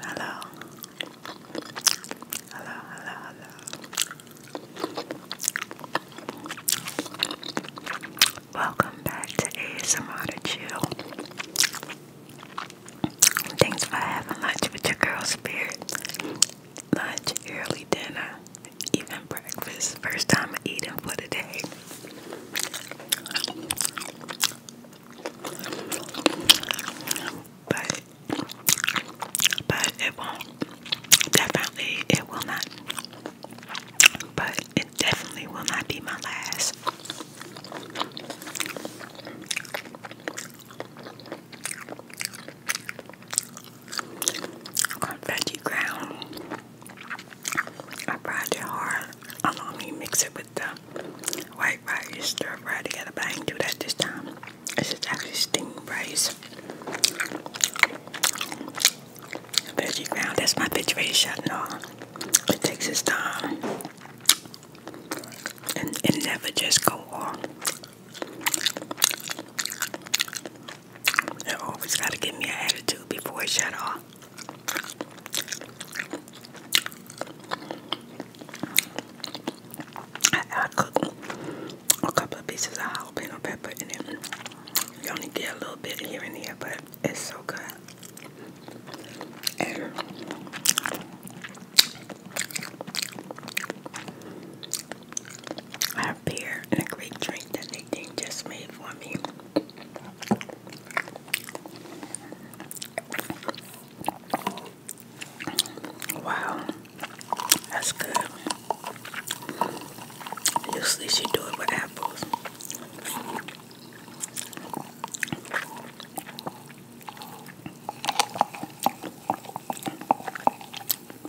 Hello. Hello, hello, hello. Welcome back to ASMR to Chill. Thanks for having lunch with your girl Spirit lunch, early dinner, even breakfast. First time I'm eating for the day. But but it won't definitely it will not but it definitely will not be my last confetti ground. I fried it hard. I don't mean mix it with the white rice, stir fry together, but I didn't do that this time. This is actually steamed rice. Veggie ground, that's my veggie rice, I know. It takes its time. And it never just go off. They always got to give me an attitude before it shut off. I, cook a couple of pieces of jalapeno pepper in it. You only get a little bit here and there, but it's so good. I have beer and a great drink that they just made for me. Wow, that's good. Usually she do it with apples.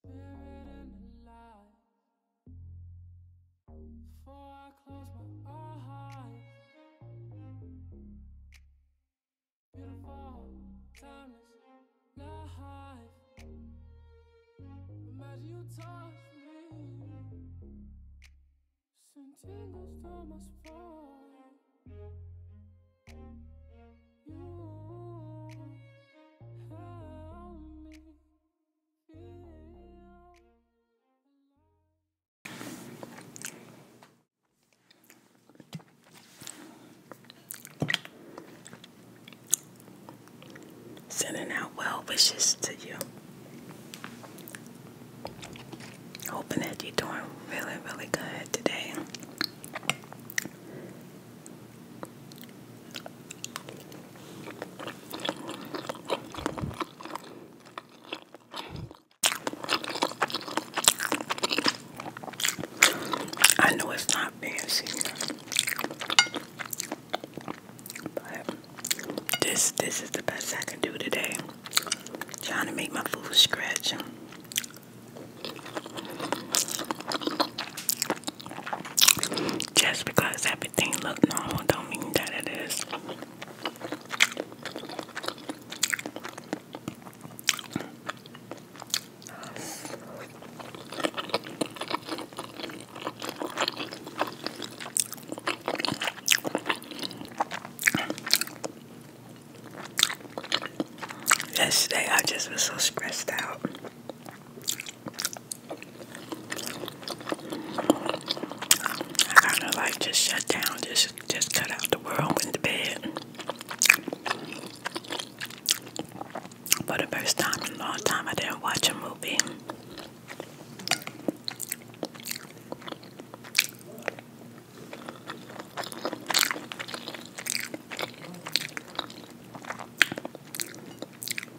spirit and alive. Before I close my eyes, beautiful, timeless life. Imagine you touch me, send tingles to my spine. You help me Sending out well wishes to you. Hoping that you're doing really, really good today. I know it's not fancy, but this this is the best I can do today. Trying to make my food scratch. Just because everything look normal don't mean that it is. Yesterday I just was so stressed out. I kind of like just shut down, just just cut out the world in the bed. For the first time in a long time, I didn't watch a movie.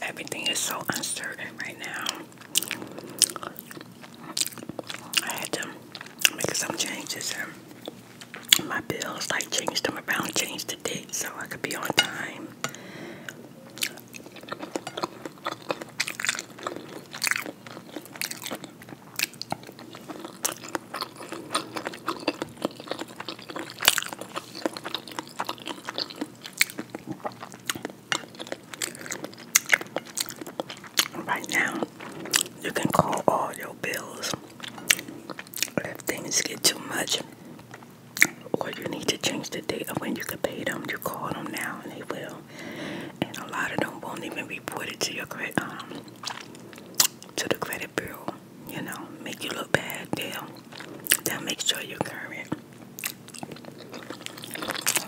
Everything is so uncertain right now. I had to make some changes my bills, like changed them around, changed the date so I could be on time. Right now, you can call all your bills if things get too much or you need to change the date of when you can pay them, you call them now and they will. And a lot of them won't even report it to your credit um, to the credit bureau, you know, make you look bad. They'll they'll make sure you're current.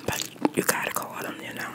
But you gotta call them, you know.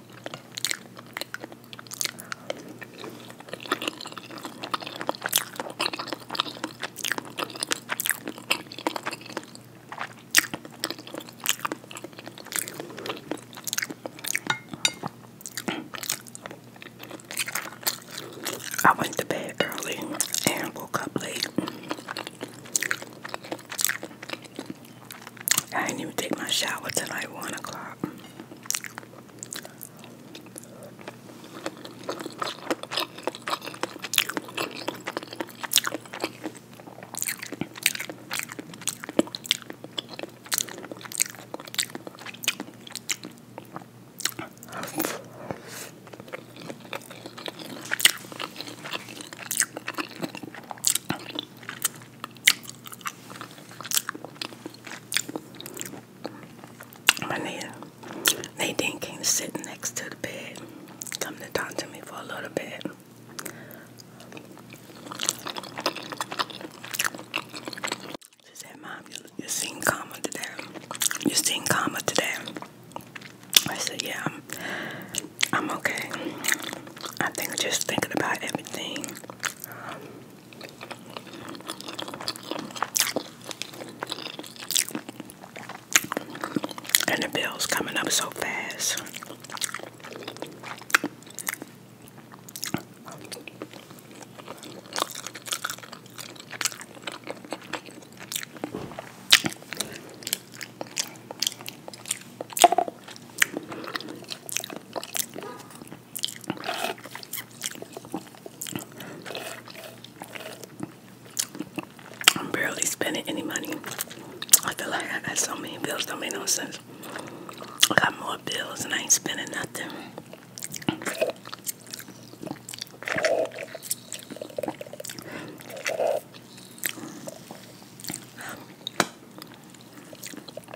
I went to bed early and woke up late. I didn't even take my shower till like one o'clock. My neighbor, Nadine came sitting next to the bed, come to talk to me for a little bit. She said, Mom, you, you seem calmer today. You seem calmer today. I said, Yeah, I'm, I'm okay. I think just thinking about everything and the bill's coming up so fast. I'm barely spending any money. I feel like I got so many bills, don't make no sense. I got more bills and I ain't spending nothing.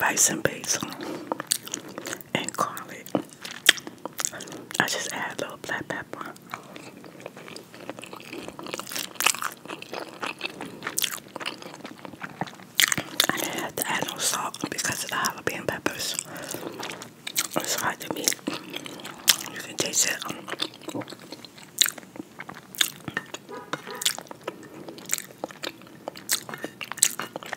rice and basil and garlic. I just add a little black pepper. I didn't have to add no salt because of the jalapeno peppers. It's hard to meet. You can taste it.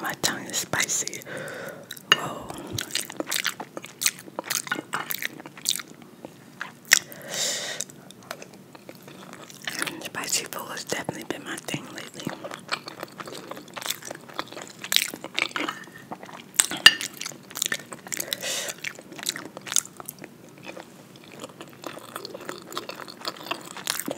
My tongue is spicy. Spicy food has definitely been my thing lately.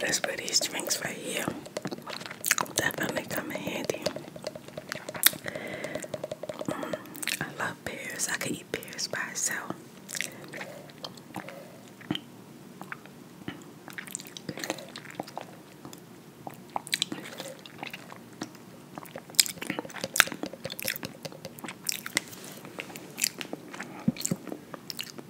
That's where these drinks right here definitely come in handy. Mm, I love pears. I can eat pears by itself.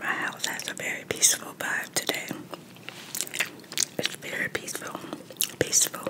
My house has a very peaceful vibe today. It's very peaceful. Peaceful.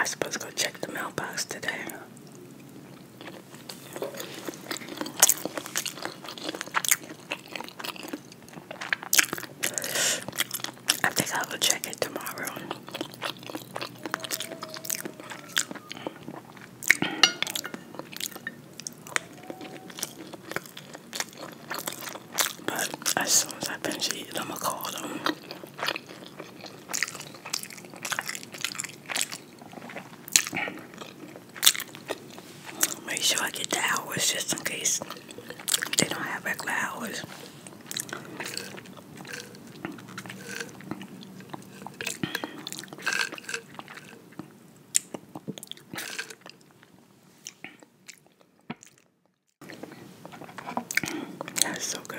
I supposed to go check the mailbox today. I think I will check it tomorrow. But as soon as I finish eating, I'm gonna call them. Make sure I get the hours just in case they don't have regular hours. That's so good.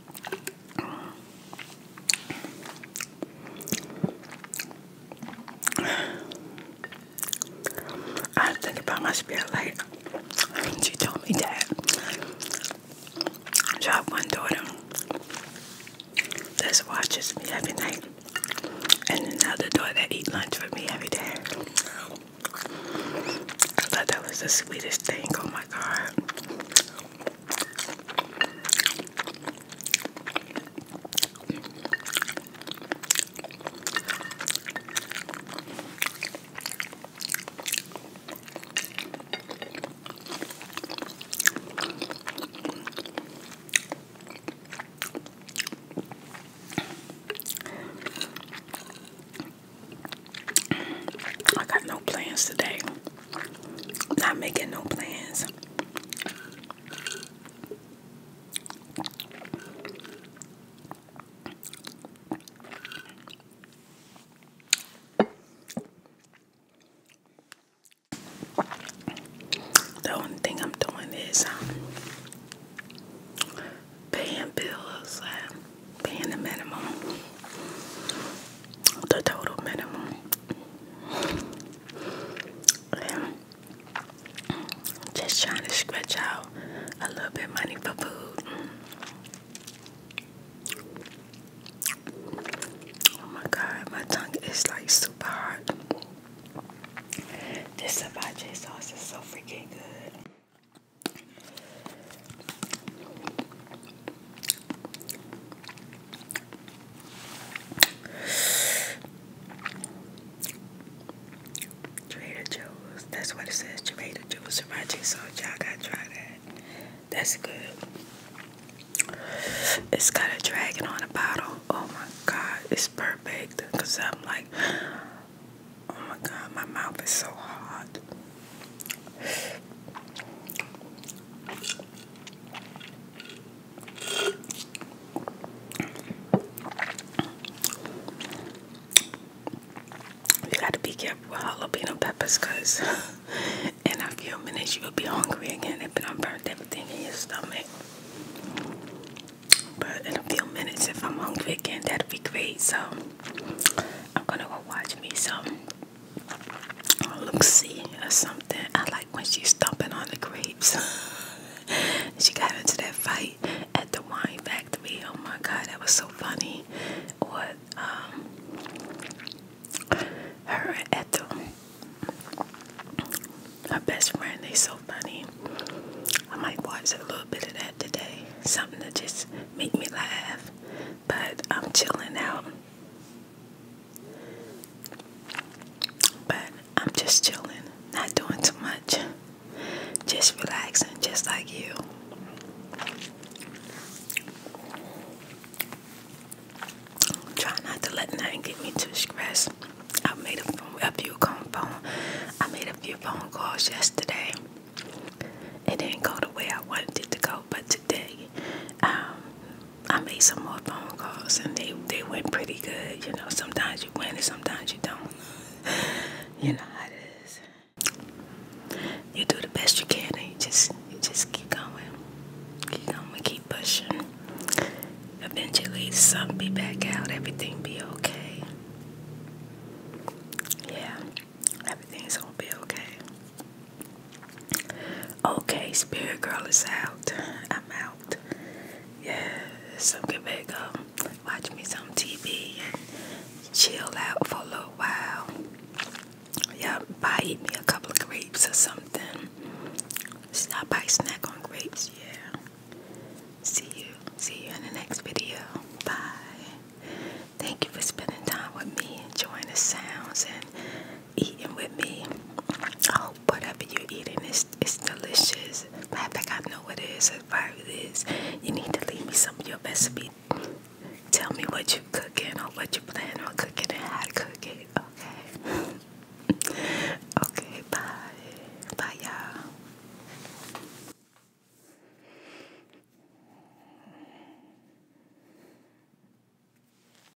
I was thinking about my spirit light. She told me that. I have one daughter that watches me every night, and another daughter that eats lunch with me every day. I thought that was the sweetest thing. Oh my God. I got no plans today. Not making no plans. The only thing I'm doing is um, paying bills, paying the minimum, the total minimum. just trying to scratch out a little bit money for food. Oh my god, my tongue is like super hot. This ceviche sauce is so freaking good. Trader Joe's. That's what it says. Trader Joe's Sriracha sauce. Y'all gotta try that. That's good. It's got a dragon on the bottle. Oh my god, it's perfect. Cause I'm like, oh my god, my mouth is so hot. You gotta be careful with jalapeno peppers because in a few minutes you'll be hungry again if I'm burnt everything in your stomach. But in a few minutes if I'm hungry again that would be great so I'm gonna go watch me some look-see or something. I like when she's stomping on the grapes. she got into that fight at the wine factory. Oh my god, that was so funny. What um, her at the her best friend, they so funny. I might watch a little bit of that today. Something that just make me laugh. But I'm chilling out. But I'm just chilling, not doing too much, just relaxing, just like you. Try not to let nothing get me too stressed. I made a, few phone. I made a few phone calls yesterday. It didn't go the way I wanted it to go, but today, um, I made some more phone calls and they they went pretty good. You know, sometimes you win and sometimes you don't. you know how it is. You do the best you can and you just you just keep going. Keep going, keep pushing. Eventually something be back out, everything be okay. Yeah. Everything's gonna be okay. Okay, Spirit Girl is out. I'm out. Yeah, so get back up. Watch me some TV chill out for a little while. Yeah, buy me a couple of grapes or something. Stop by snack on grapes, yeah. See you. See you in the next video. Bye. Thank you for spending time with me, enjoying the sounds and eating with me. Oh, whatever you're eating is it's delicious. I think I know what it is. If it is, you need to leave me some of your recipe. Tell me what you are cooking or what you plan on cooking and how to cook it. Okay. okay. Bye. Bye, y'all.